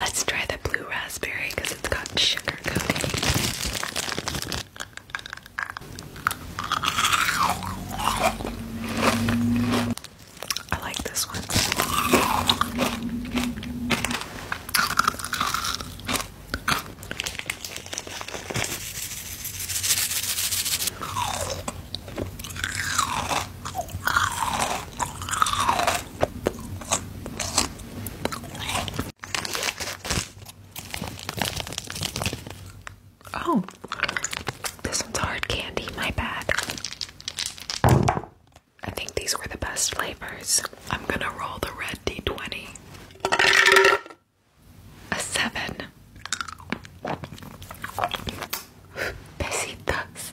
Let's try the blue raspberry because it's got sugar coating. I like this one. Oh, this one's hard candy, my bad. I think these were the best flavors. I'm gonna roll the red D20. A seven. Besitos.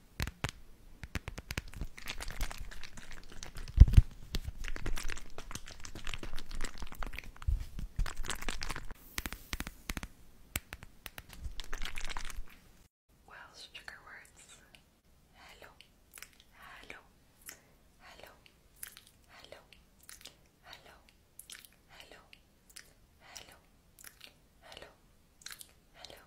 Welsh trigger words. Hello, hello, hello, hello, hello, hello, hello, hello, hello, hello,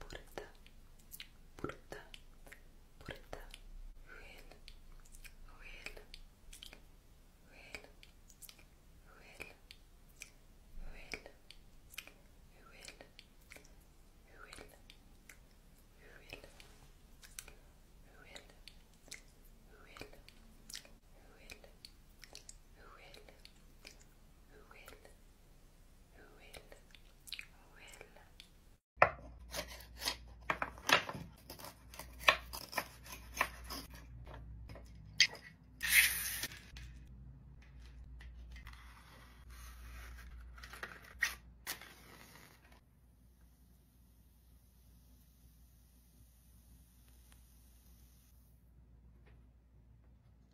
burada, burada, burada. Will, will, will, will, will, will, will, will, will. Will, will, will, will, will, will.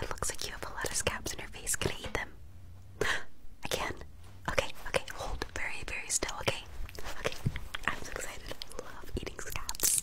It looks like you have a lot of scabs in your face. Can I eat them? I can. Okay, okay, hold very, very still, okay? Okay, I'm so excited. I love eating scabs.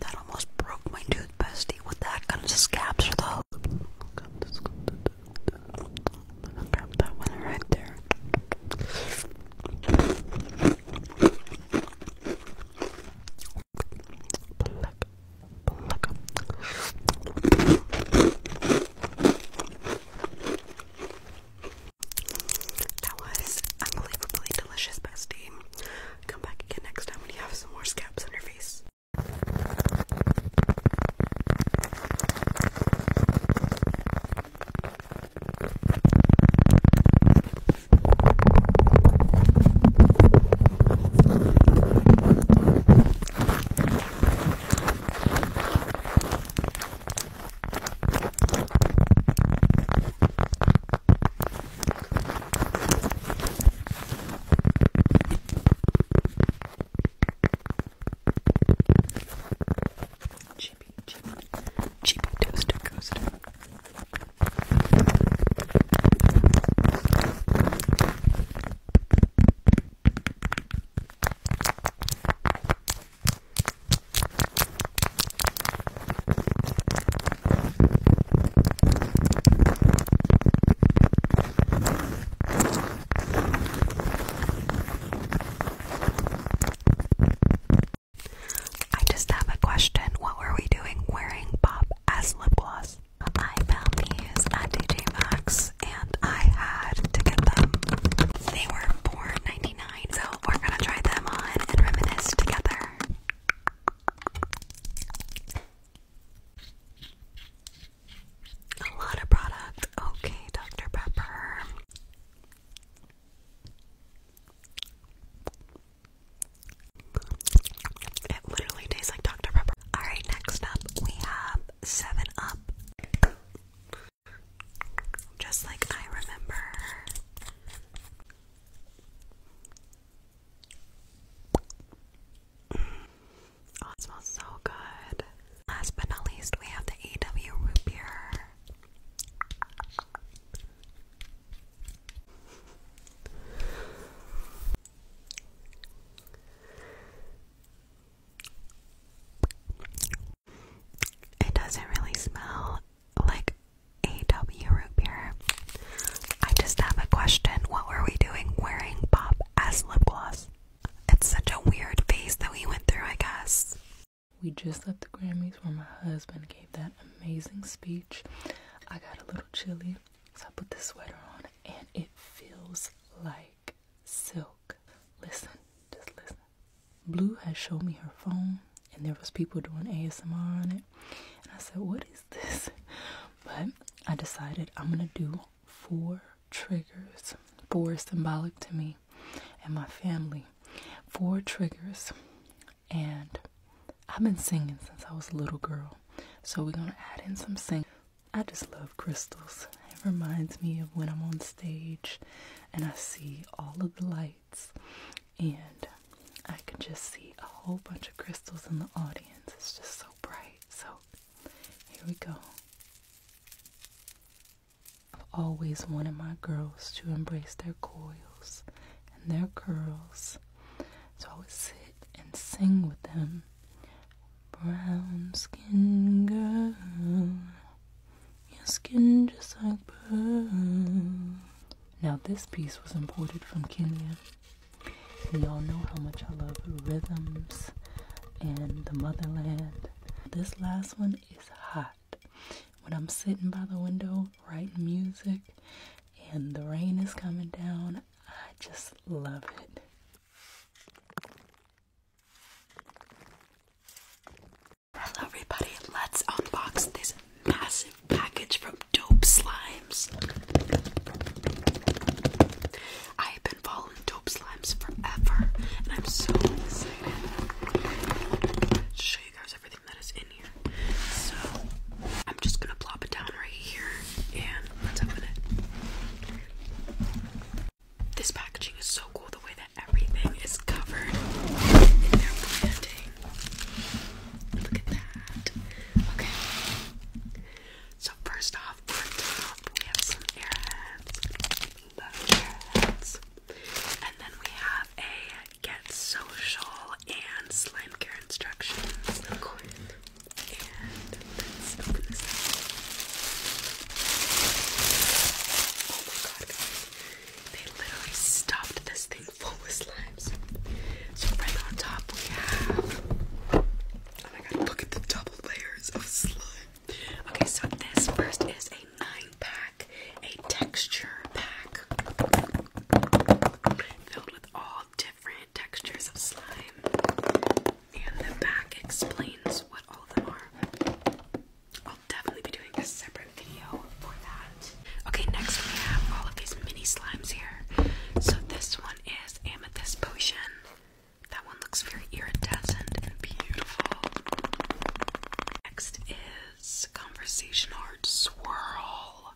That almost broke my tooth, bestie. What the kind of scabs are those? Grab that one right there. That was unbelievably delicious, bestie. Come back again next time when you have some more scabs on your face. Chippy, chippy, chippy toaster coaster. I just have a question. What were we doing wearing pop as lip gloss? I found these at DJ Maxx and I had to get them. They were 4 99 so we're gonna try them on and reminisce together. A lot of product. Okay, Dr. Pepper. It literally tastes like Dr. Pepper. Alright, next up we have 7 Up. Just like I remember. Oh, it smells so good. Last but not least, we have the AW root beer. It doesn't really smell like AW root I just have a question. What were we doing wearing pop as lip gloss? It's such a weird phase that we went through, I guess. We just left the Grammys where my husband gave that amazing speech. I got a little chilly, so I put this sweater on and it feels like silk. Listen, just listen. Blue has shown me her phone and there was people doing ASMR on it. And I said, what is this? But I decided I'm going to do four triggers. Four is symbolic to me and my family. Four triggers. And I've been singing since I was a little girl. So we're going to add in some singing. I just love crystals. It reminds me of when I'm on stage and I see all of the lights and I can just see a whole bunch of crystals in the audience. It's just so bright. So here we go. I've always wanted my girls to embrace their coils and their curls. So I would sit and sing with them. Brown skin girl, your skin just like pearl. Now, this piece was imported from Kenya. And y'all know how much I love rhythms and the motherland. This last one is hot. When I'm sitting by the window writing music and the rain is coming down, I just love it. Hello, everybody. Let's unbox this massive package from dope slimes. I have been following dope slimes forever, and I'm so excited to show you guys everything that is in here. So I'm just gonna plop it down right here, and let's open it. This packaging is so cool the way that everything is covered in their branding. Look at that. Okay. So first off, on top we have some airheads. Love airheads. And then we have a get social and slime care instructions. And let's open this up. Oh my god, They literally stuffed this thing full with slimes. So right on top we have oh my god, look at the double layers of slime. Okay, so this first is a nine pack, a texture pack filled with all different textures of slime. And the back explains what all of them are. I'll definitely be doing a separate video for that. Okay, next we have all of these mini slimes here. So this one is Amethyst Potion. That one looks very iridescent and beautiful. Next is Conversation Heart Swirl.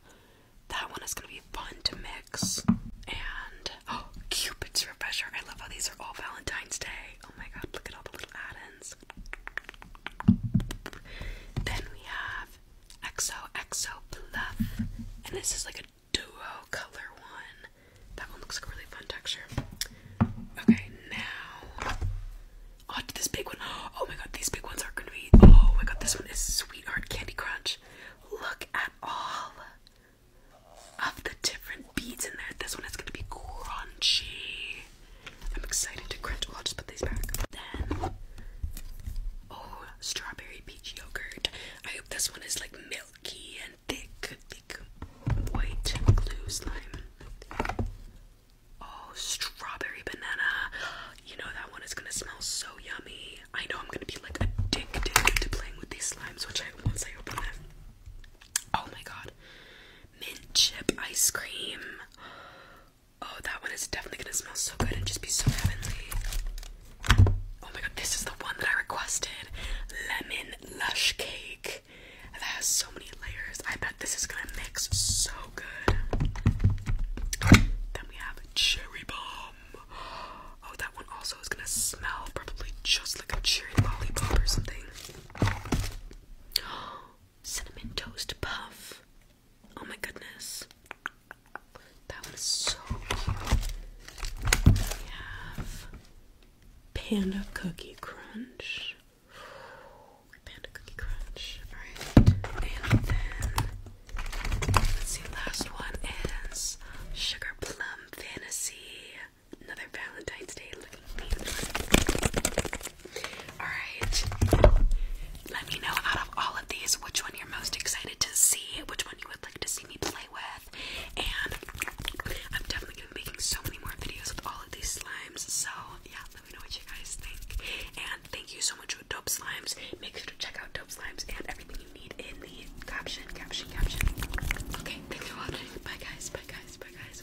That one is going to be fun to mix. And, oh, Cupid's Refresher. I love how these are all Valentine's Day. Oh my god, look at all the little add ins. Then we have XOXO Bluff. And this is like a duo color one. That one looks like a really fun texture. Okay, now. Oh, this big one. Oh my god, these big ones are gonna be. Oh my god, this one is Sweetheart Candy Crunch. Look at all of the different beads in there. This one is gonna be crunchy. I'm excited to crunch. Well, I'll just put these back. Then, oh, strawberry peach yogurt. I hope this one is like milky and thick, thick white glue slime. Oh, strawberry banana. You know that one is gonna smell so yummy. I know I'm gonna be like addicted to playing with these slimes, which I once I open them. Oh my god. Mint chip ice cream. Oh, that one is definitely gonna smell so good and just be so heavenly. Oh my god, this is the one that I requested. Lemon lush cake. That has so many layers. I bet this is gonna mix so good. Then we have cherry bomb. Oh, that one also is gonna smell probably just like a cherry lollipop or something. Cinnamon toast puff. Oh my goodness. That was so cute. We have Panda Cookie Crunch. Panda Cookie Crunch. Alright. And then let last one is Sugar Plum Fantasy. Another Valentine's Day looking paper. Alright. Let me know out of all of these which one you're most excited to see, which one you would like to see me play with. And I'm definitely going to be making so many more videos with all of these slimes. So, yeah, let me know what you guys think. And thank you so much for Dope Slimes. Make sure to check out Dope Slimes and everything you need in the caption, caption, caption. Okay, thanks for watching. Bye, guys. Bye, guys. Bye, guys.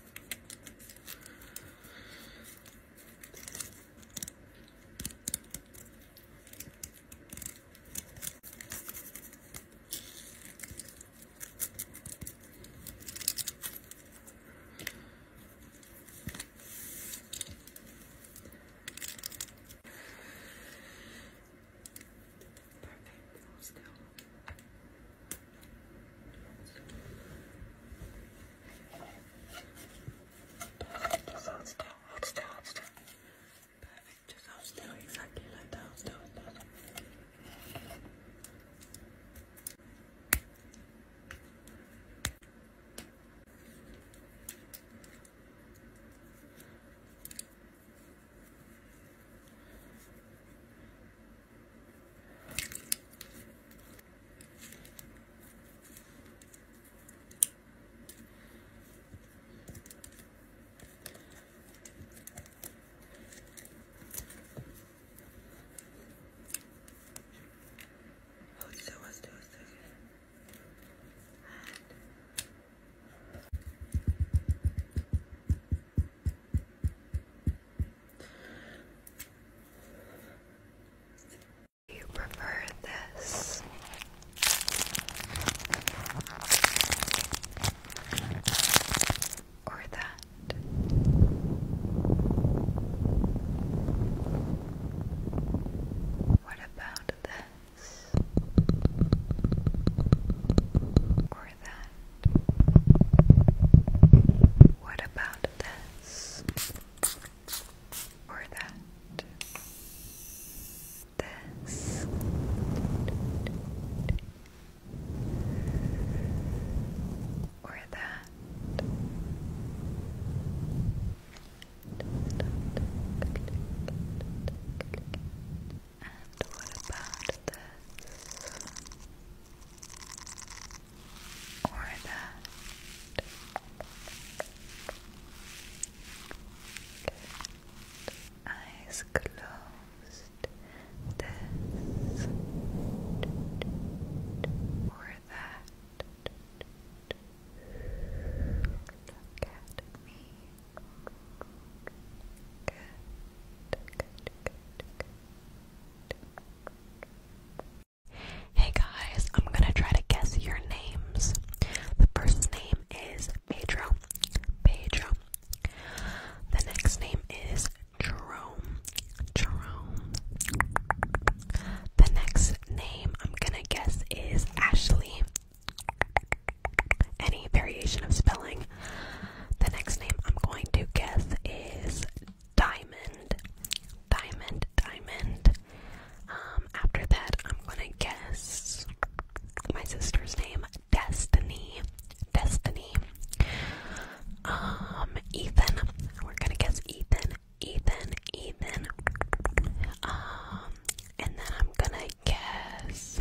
Perfect. Still. Just hold still, hold still, hold still. Perfect, just hold still, exactly like that, hold still, hold also, I was doing so good. And you prefer this? Or that? What about this? for that? What about this? Or that? This? Or that? And what about this? or that. Eyes closed. This or that. Look at me. Good, good, good, good. Hey guys, I'm gonna try to guess your names. The first name is Pedro. Pedro. The next name is Jerome. Jerome. The next name I'm gonna guess is Ashley. Any variation of spelling the next name I'm going to guess is Diamond. Diamond, Diamond. Um, after that, I'm gonna guess my sister's name, Destiny. Destiny. Um, Ethan. We're gonna guess Ethan. Ethan, Ethan. Um, and then I'm gonna guess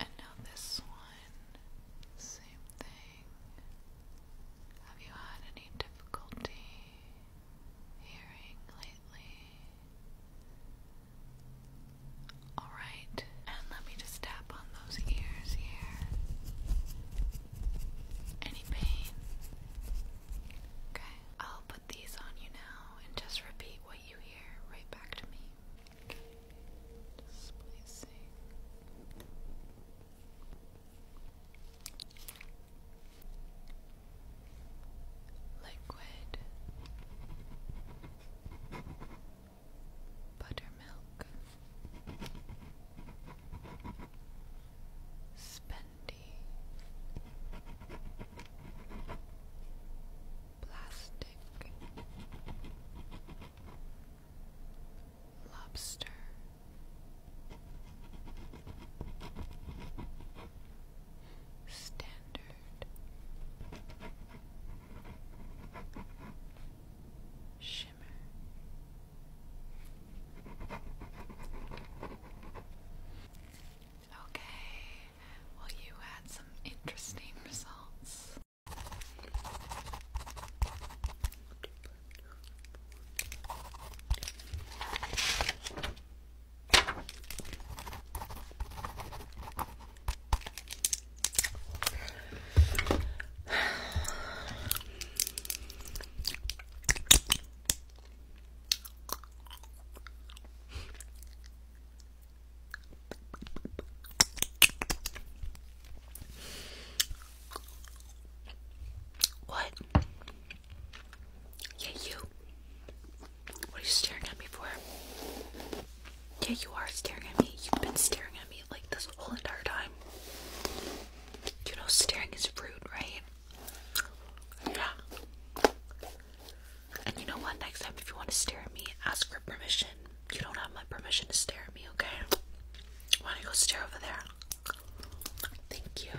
And now this one, same thing. Have you had any difficulty hearing lately? Alright, and let me just tap on those ears here. Any pain? Okay, I'll put these on you now and just repeat what you hear right back to me. Spicy, liquid buttermilk spendy plastic lobster standard shimmer Okay, well, you had some interesting results. What? Yeah, you. What are you staring at me for? Yeah, you are staring at me. You've been staring at me like this whole entire time. You know, staring is rude, right? Yeah. And you know what? Next time, if you want to stare at me, ask for permission. You don't have my permission to stare at me, okay? Why don't you go stare over there? Thank you.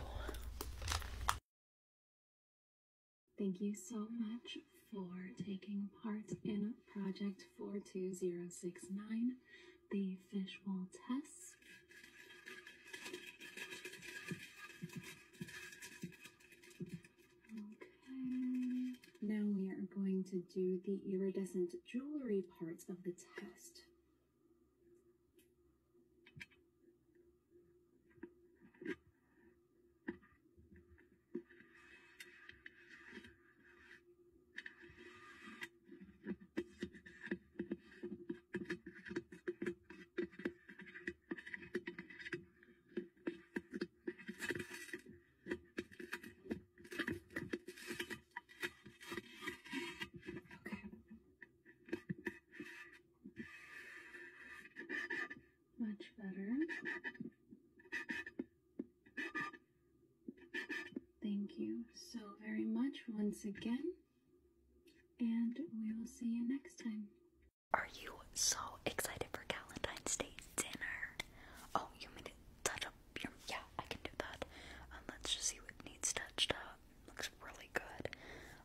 Thank you so much for taking part in Project 42069, the Fish fishbowl test. Okay. Now we are going to do the iridescent jewelry parts of the test. Much better. Thank you so very much once again, and we will see you next time. Are you so excited for Valentine's Day dinner? Oh, you mean to touch up your. Yeah, I can do that. Um, let's just see what needs touched up. Looks really good.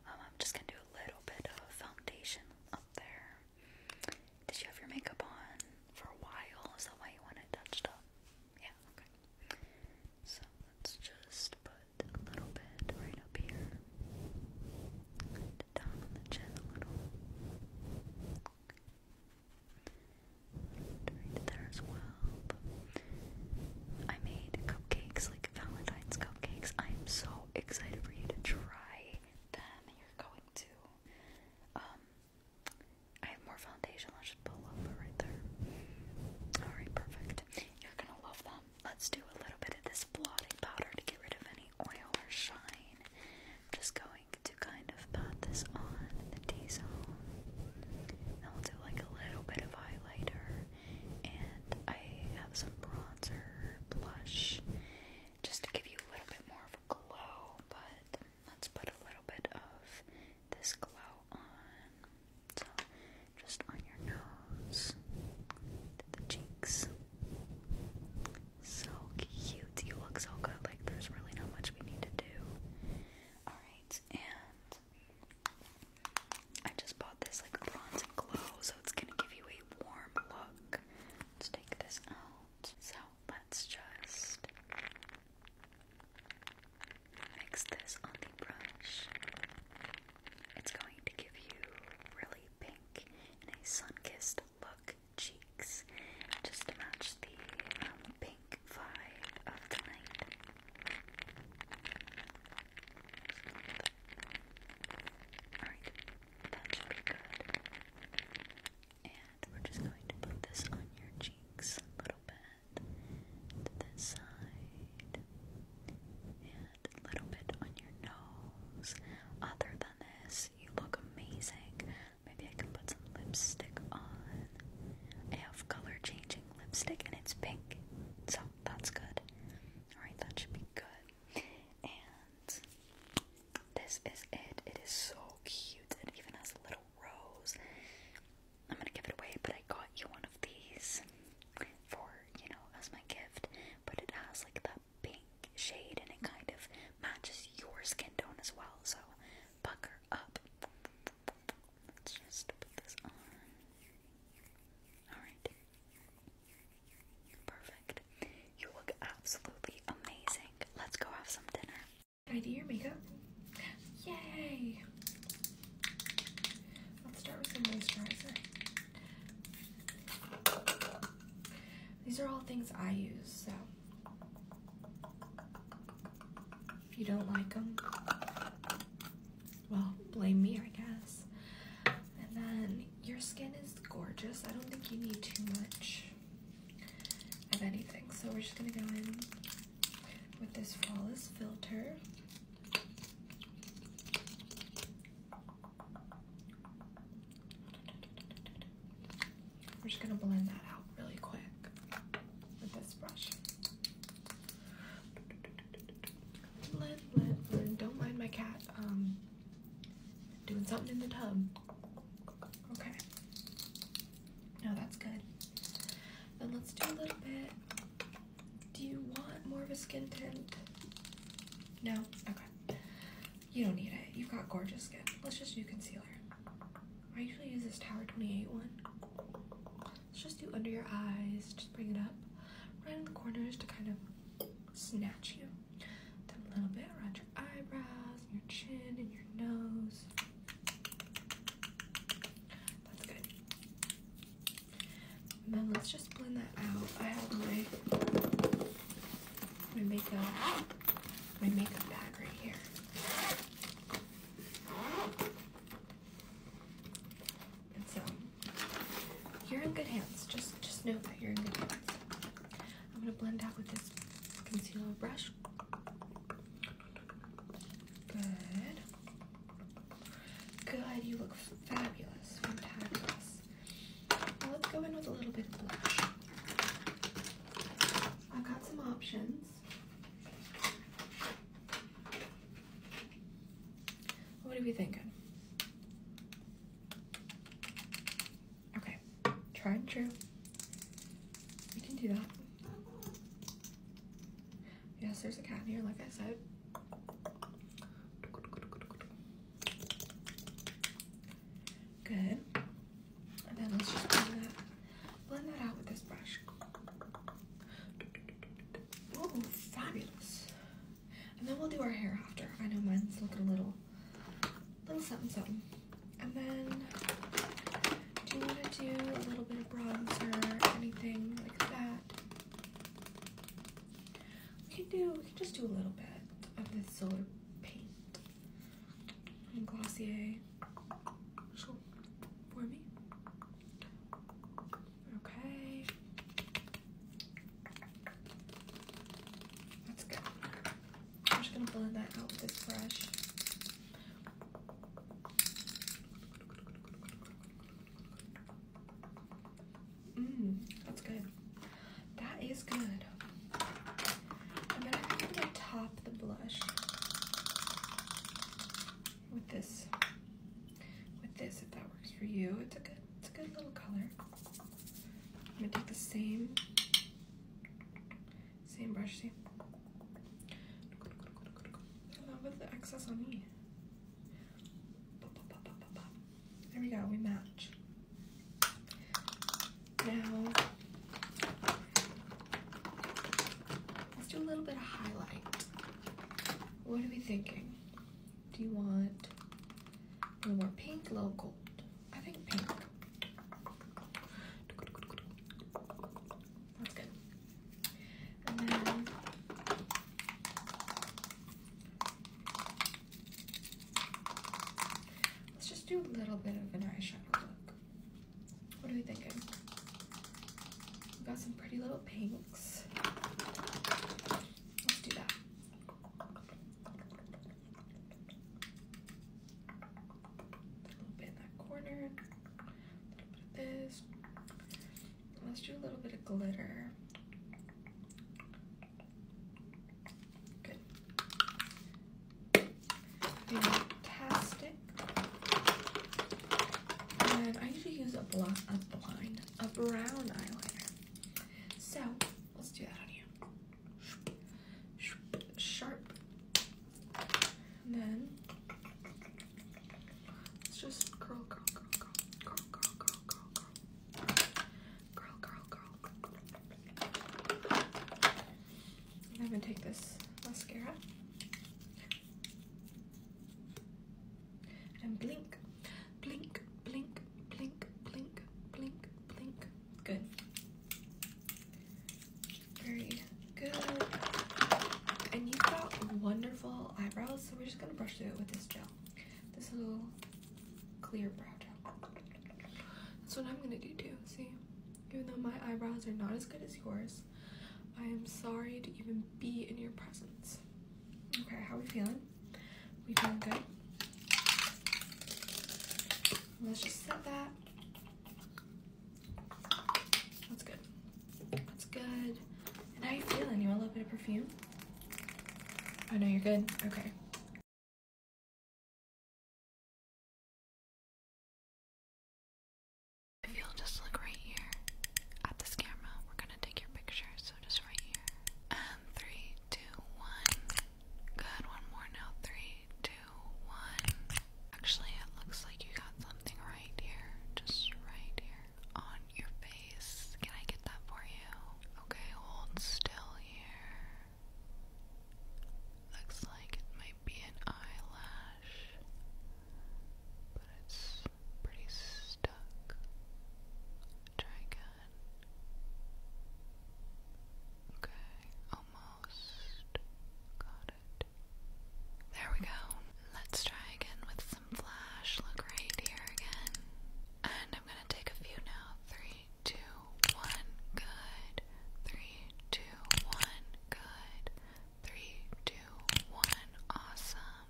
Um, I'm just gonna do a little bit of foundation up there. Did you have your makeup on for a while? Is that why you want it touched up? Yeah, okay. So let's just put a little bit right up here the top the chin a little. Right there as well. I made cupcakes, like Valentine's cupcakes. I am so excited for you to try them. You're going to. Um, I have more foundation. I should pull over right there. Alright, perfect. You're gonna love them. Let's do a little bit of this blotting powder to get rid of any oil or shine. I'm just going to kind of pat this on the T-zone. And we'll do like a little bit of highlighter. And I have some bronzer, blush, just to give you a little bit more of a glow. But let's put a little bit of this glow on. just on your nose, the cheeks. So cute. You look so good. Like, there's really not much we need to do. Alright, and I just bought this like bronze and glow, so it's gonna give you a warm look. Let's take this out. So let's just mix this on the brush. It's going to give you really pink and a sun kissed look cheeks just to match the um, pink vibe of the night. Alright, that should be good. And we're just going to put this on your cheeks a little bit this side a little bit on your nose. Other than this, you look amazing. Maybe I can put some lipstick on. I have color changing lipstick and it's pink, so that's good. Alright, that should be good. And this is it. It is so cute. It even has a little rose. I'm gonna give it away, but I got you one of these for, you know, as my gift. But it has like that pink shade and it kind of matches your skin tone as well. So buckle up. Let's just put this on. Alright. Perfect. You look absolutely amazing. Let's go have some dinner. I do your makeup? Yay! Let's start with some moisturizer. These are all things I use, so if you don't like them, well, blame me, I guess. And then your skin is gorgeous. I don't think you need too much of anything. So we're just gonna go in with this flawless filter. We're just gonna blend that out really quick with this brush. Don't mind my cat um, doing something in the tub. Okay. No, that's good. Then let's do a little bit. Do you want more of a skin tint? No? Okay. You don't need it. You've got gorgeous skin. Let's just do concealer. I usually use this Tower 28 one. Let's just do under your eyes. Just bring it up right in the corners to kind of snatch you. Then a little bit around your eyebrows, your chin, and your nose. That's good. And then let's just blend that out. I have my my makeup my makeup bag right here. And so you're in good hands. Just just know that you're in good hands. I'm gonna blend out with this concealer brush. Good. Good, you look fabulous. Fantastic let's go in with a little bit of blush. I've got some options. What are we thinking? Okay, tried and true. We can do that. Yes, there's a cat in here, like I said. Good. And then let's just blend that, out with this brush. Ooh, fabulous. And then we'll do our hair after. I know mine's looking a little, little something something. And then, do you want to do a little bit of bronzer, anything like that? We can do, we can just do a little bit of this solar paint from Glossier for me. Okay. That's good. I'm just gonna blend that out with this brush. Mmm, that's good. That is good. I am gonna top the blush with this. With this, if that works for you. It's a good, it's a good little color. I'm gonna take the same, same brush, see? Along with the excess on me. There we go, we match. Now, let's do a little bit of highlight. What are we thinking? Do you want a little more pink, a little gold? I think pink. That's good. Let's just do a little bit of an eyeshadow look. What are we thinking? we got some pretty little pinks. Let's do that. A little bit in that corner. A little bit of this. Let's do a little bit of glitter. Good. Fantastic. And I usually use a, bl a blind, a brown eyeliner. So let's do that on you. Sharp. And then let's just curl, curl, curl, curl, curl, curl, curl, curl. Girl, girl, girl. I'm gonna take this mascara and blink, blink, blink, blink, blink, blink, blink. Good. Very good. And you've got wonderful eyebrows, so we're just gonna brush through it with this gel. This little clear brow gel. That's what I'm gonna do too, see? Even though my eyebrows are not as good as yours, I am sorry to even be in your presence. Okay, how are we feeling? We feeling good? Let's just set that. That's good. That's good. And how you feeling? You want a little bit of perfume? Oh no, you're good. Okay. If you'll just look right here at this camera, we're gonna take your picture. So just right here. And Good. One more now. Three, two, one. Actually, it looks like you got something right here. Just right here on your face. Can I get that for you? Okay, hold still here. Looks like it might be an eyelash, but it's pretty stuck. Try again. Okay, almost got it. There we go. Let's try again with flash. Look right here again. And I'm gonna take a few now. Three, two, one, good. Three, two, one, good. Three, two, one, awesome.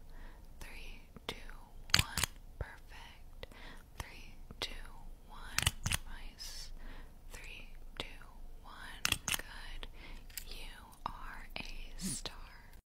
Three, two, one, perfect. Three, two, one, nice. Three, two, one, good. You are a star.